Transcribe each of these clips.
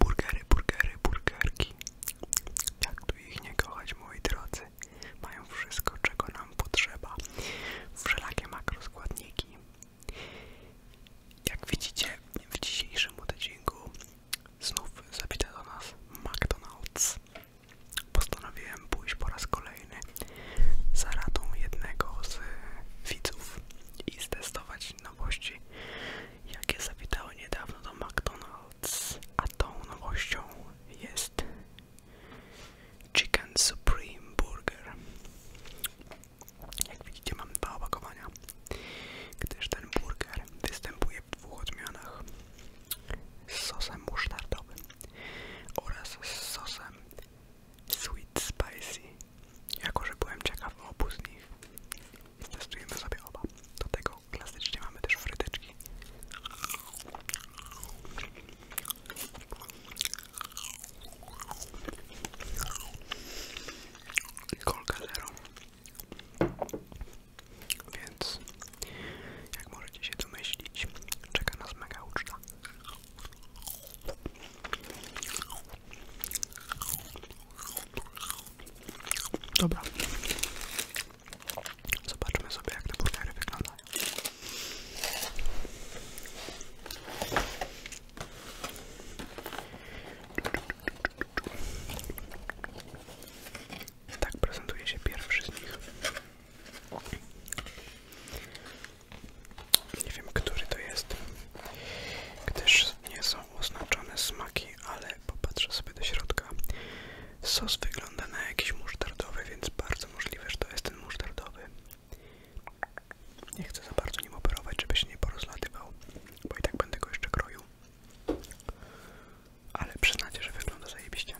Burgery, burgery, burgerki. Jak tu ich nie kochać, moi drodzy? Mają wszystko, czego nam potrzeba. Wszelakie składniki. Jak widzicie, w dzisiejszym odcinku znów zawita do nas McDonald's. Postanowiłem pójść po raz kolejny za radą jednego z widzów i ztestować nowości jakie zawitały niedawno do McDonald's, a tą nowością jest Chicken Supreme Burger. Jak widzicie mam dwa opakowania, gdyż ten burger występuje w dwóch odmianach z sosem musztardowym oraz z sosem Sweet Spicy jako, że byłem ciekaw obu z nich, testujemy sobie oba. Do tego klasycznie mamy też fryteczki. I kolka Więc, jak możecie się domyślić, czeka nas mega uczta. Dobra. Zobaczmy sobie jak te burgery wyglądają. Tak prezentuje się pierwszy z nich. Nie który to jest gdyż nie są oznaczone smaki, ale popatrzę sobie do środka. Sos wygląda na jakiś musztardowy, więc bardzo możliwe, że to jest ten musztardowy. Nie chcę za bardzo nim operować, żeby się nie porozlatywał, bo i tak będę go jeszcze kroił. Ale przynajmniej, że wygląda zajebiście.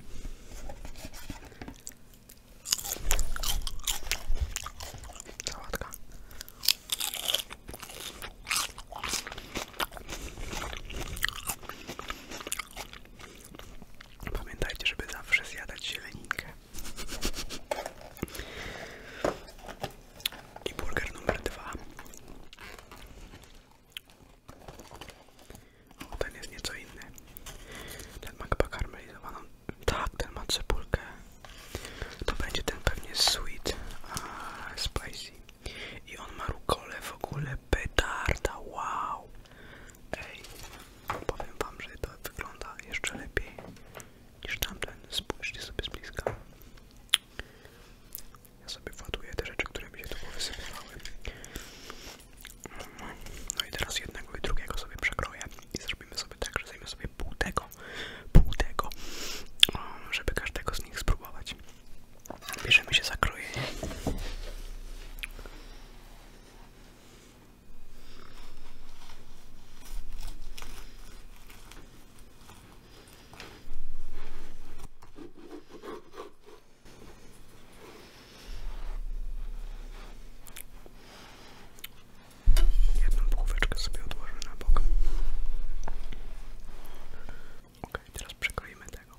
Sałatka. Pamiętajcie, żeby zawsze zjadać zieleninkę. I burger numer dwa. O, ten jest nieco inny. Ten ma chyba karmelizowaną. Tak, ten ma cebulkę to będzie ten pewnie sweet, spicy. I on ma rukole w ogóle petarda, wow! Ej, powiem wam, że to wygląda jeszcze lepiej niż tamten. Spójrzcie sobie z bliska. Ja sobie właduję te rzeczy, które mi się tu wysypywały. No i teraz jednego i drugiego sobie przekroję i zrobimy sobie tak, że zajmę sobie pół tego, pół tego, żeby każdego z nich spróbować. Bierzemy się za krojenie. Jedną półeczkę sobie odłożę na bok. Ok, teraz przekroimy tego.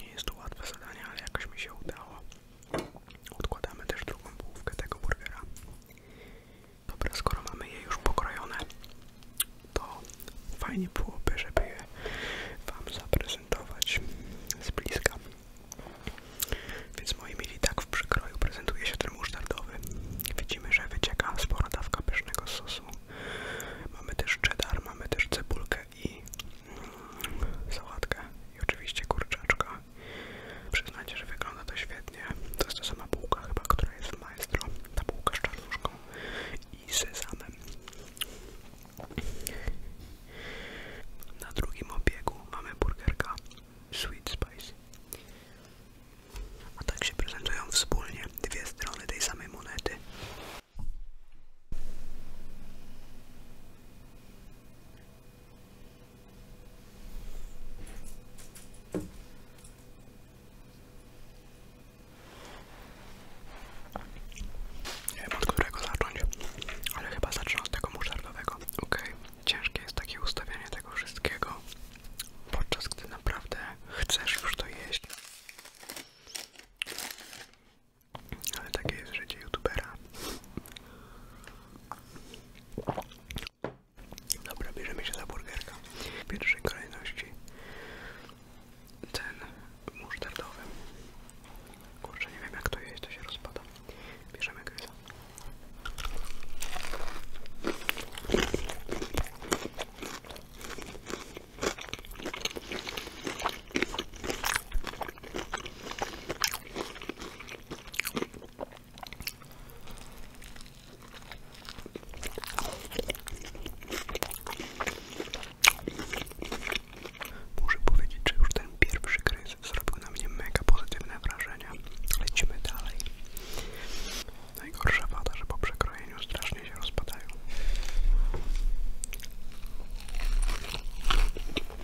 Nie jest to łatwe zadanie, ale jakoś mi się udało. Odkładamy też drugą połówkę tego burgera. Dobra, skoro mamy je już pokrojone, to fajnie byłoby, żeby je Wam zaprezentować z bliska. Więc moi mili, tak w przykroju prezentuje się ten musztardowy. Widzimy, że wycieka spora dawka pysznego sosu. Mamy też cheddar, mamy też cebulkę i mm, sałatkę i oczywiście kurczaczka. Przyznacie, że wygląda to świetnie. To jest ta sama bułka chyba, która jest w maestro. Ta bułka z czarnuszką i sezamem. Na drugim obiegu mamy burgerka Sweet Spice. A tak się prezentują wspólnie dwie strony tej samej monety. Nie wiem od którego zacząć, ale chyba zacznę od tego muszardowego. Okej, okay. ciężkie jest takie ustawianie tego wszystkiego, podczas gdy naprawdę chcesz już to jeść. Ale takie jest życie youtubera. Dobra, bierzemy się za burgerka. W pierwszej kolejności ten musztardowy. Kurczę, nie wiem jak to jest, to się rozpada. Bierzemy gryza. Muszę powiedzieć, że już ten pierwszy kryzys zrobił na mnie mega pozytywne wrażenie. Lecimy dalej. Najgorsza wada, że po przekrojeniu strasznie się rozpadają.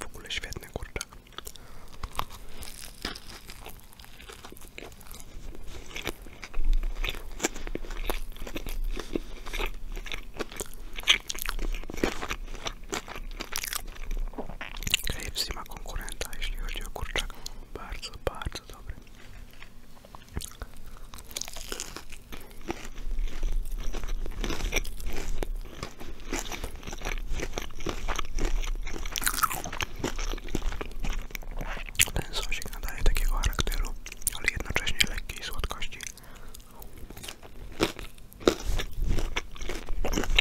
W ogóle świetny kurczak. KFC ma konkurenta, jeśli chodzi o kurczaka. Bardzo, bardzo dobry. Ten sosik nadaje takiego charakteru, ale jednocześnie lekkiej słodkości.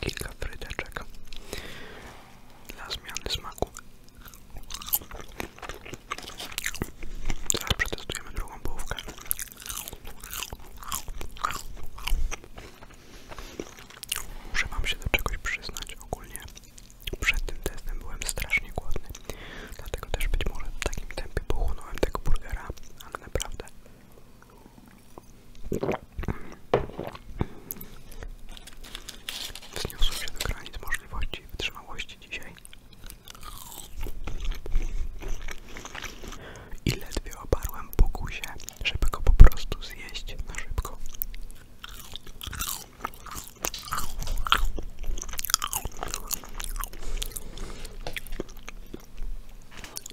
kilka frydeczek dla zmiany smaku. Teraz przetestujemy drugą połówkę. Muszę wam się do czegoś przyznać ogólnie. Przed tym testem byłem strasznie głodny, dlatego też być może w takim tempie pochłonąłem tego burgera, ale naprawdę Wzniosłem się do granic możliwości i wytrzymałości dzisiaj i ledwie oparłem pokusie, żeby go po prostu zjeść na szybko.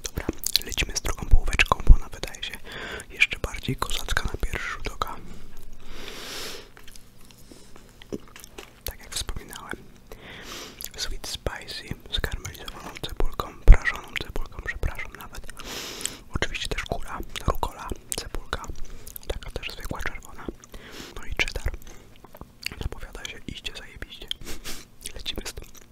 Dobra, lecimy z drugą połóweczką, bo ona wydaje się jeszcze bardziej kozacka na pierwszy rzut oka. Tak jak wspominałem, sweet spicy z karmelizowaną cebulką, prażoną cebulką, przepraszam nawet. Oczywiście też kura, rukola, cebulka, taka też zwykła czerwona. No i cheddar. Zapowiada się, iście zajebiście. Lecimy z tym.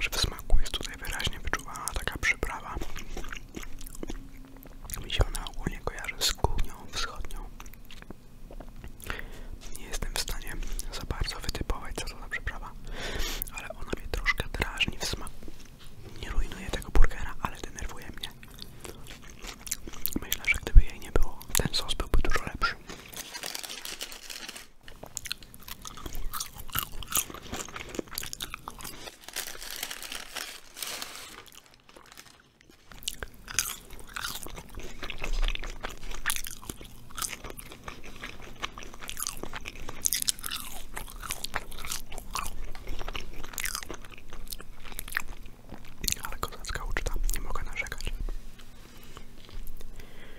że w smaku jest tutaj wyraźnie wyczuwalna taka przyprawa. Mi się ona ogólnie kojarzy z kuchnią wschodnią. Nie jestem w stanie za bardzo wytypować, co to za przyprawa, ale ona mnie troszkę drażni w smaku. Nie rujnuje tego burgera, ale denerwuje mnie. Myślę, że gdyby jej nie było, ten sos byłby dużo lepszy. Ale kozacka uczta, nie mogę narzekać.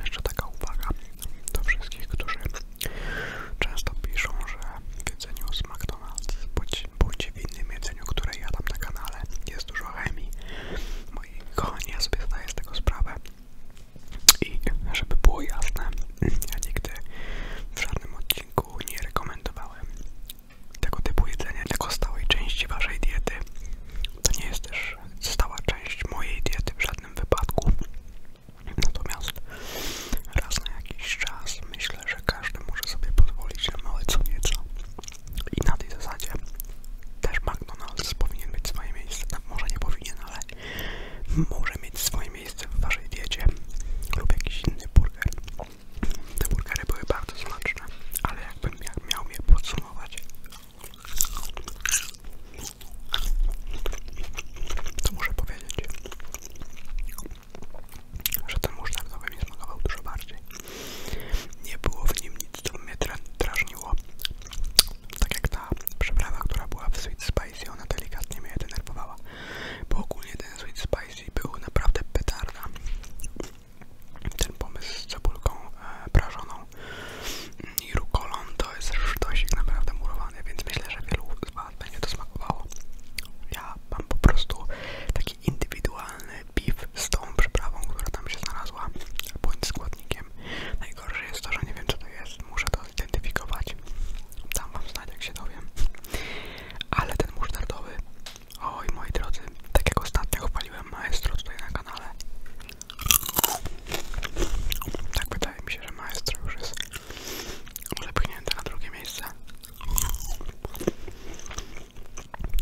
Jeszcze taka uwaga do wszystkich, którzy często piszą, że w jedzeniu z McDonald's bądź, bądź w innym jedzeniu, które jadam na kanale jest dużo chemii moi kochani, ja sobie zdaję z tego sprawę. I żeby było jasne, ja nigdy w żadnym odcinku nie rekomendowałem tego typu jedzenia jako stałej części waszej diety. To nie jest też stała część mojej diety w żadnym wypadku. Natomiast raz na jakiś czas myślę, że każdy może sobie pozwolić na małe co nieco. I na tej zasadzie też McDonald's powinien mieć swoje miejsce. No, może nie powinien, ale może mieć swoje miejsce w waszej diecie lub jakiś inny burger. Te burgery były bardzo smaczne, ale jakbym miał je podsumować, to muszę powiedzieć, że ten musztardowy mi smakował dużo bardziej. Nie było w nim nic, co mnie drażniło. Tak jak ta przyprawa, która była w Sweet Spicy, ona delikatnie mnie denerwowała. Bo ogólnie ten Sweet Spicy był naprawdę petarda. Ten pomysł z cebulką e, prażoną i rukolą to jest sztosik naprawdę murowany, więc myślę, że wielu z Was będzie to smakowało. Ja mam po prostu taki indywidualny piw z tą przyprawą, która tam się znalazła, bądź składnikiem. Najgorsze jest to, że nie wiem co to jest, muszę to zidentyfikować. Dam wam znać jak się dowiem. Ale ten musztardowy, oj moi drodzy, takiego jak ostatnio chwaliłem maestro tutaj na kanale. Tak wydaje mi się, że maestro już jest zepchnięte na drugie miejsce.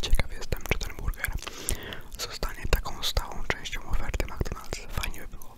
Ciekaw jestem, czy ten burger zostanie taką stałą częścią oferty McDonald's. Fajnie by było.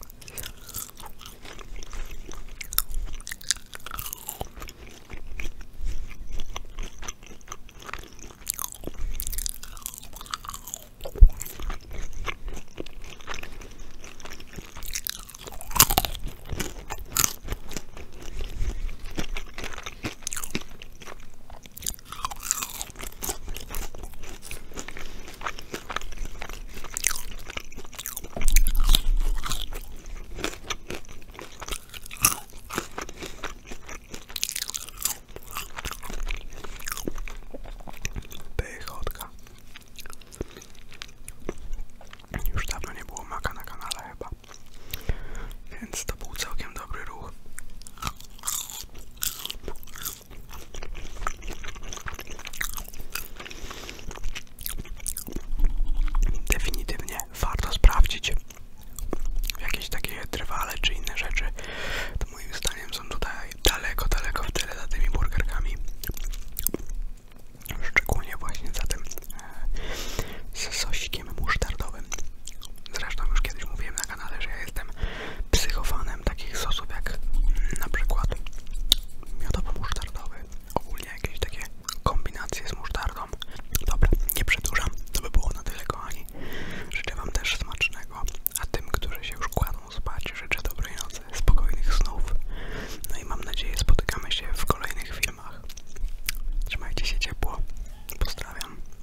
Pychotka. Już dawno nie było maka na kanale chyba. Więc to był całkiem dobry ruch. Definitywnie warto sprawdzić jakieś takie drwale czy inne rzeczy. To moim zdaniem są tutaj daleko, daleko w tyle za tymi burgerkami. Szczególnie właśnie za tym ze musztardowym. Zresztą już kiedyś mówiłem na kanale, że ja jestem psychofanem takich osób jak mm, na przykład miodowo-musztardowy, ogólnie jakieś takie kombinacje z musztardą. Dobra, nie przedłużam, to by było na tyle kochani. Życzę Wam też smacznego, a tym, którzy się już kładą spać, życzę dobrej nocy, spokojnych snów. No i mam nadzieję spotykamy się w kolejnych filmach. Trzymajcie się ciepło. Pozdrawiam.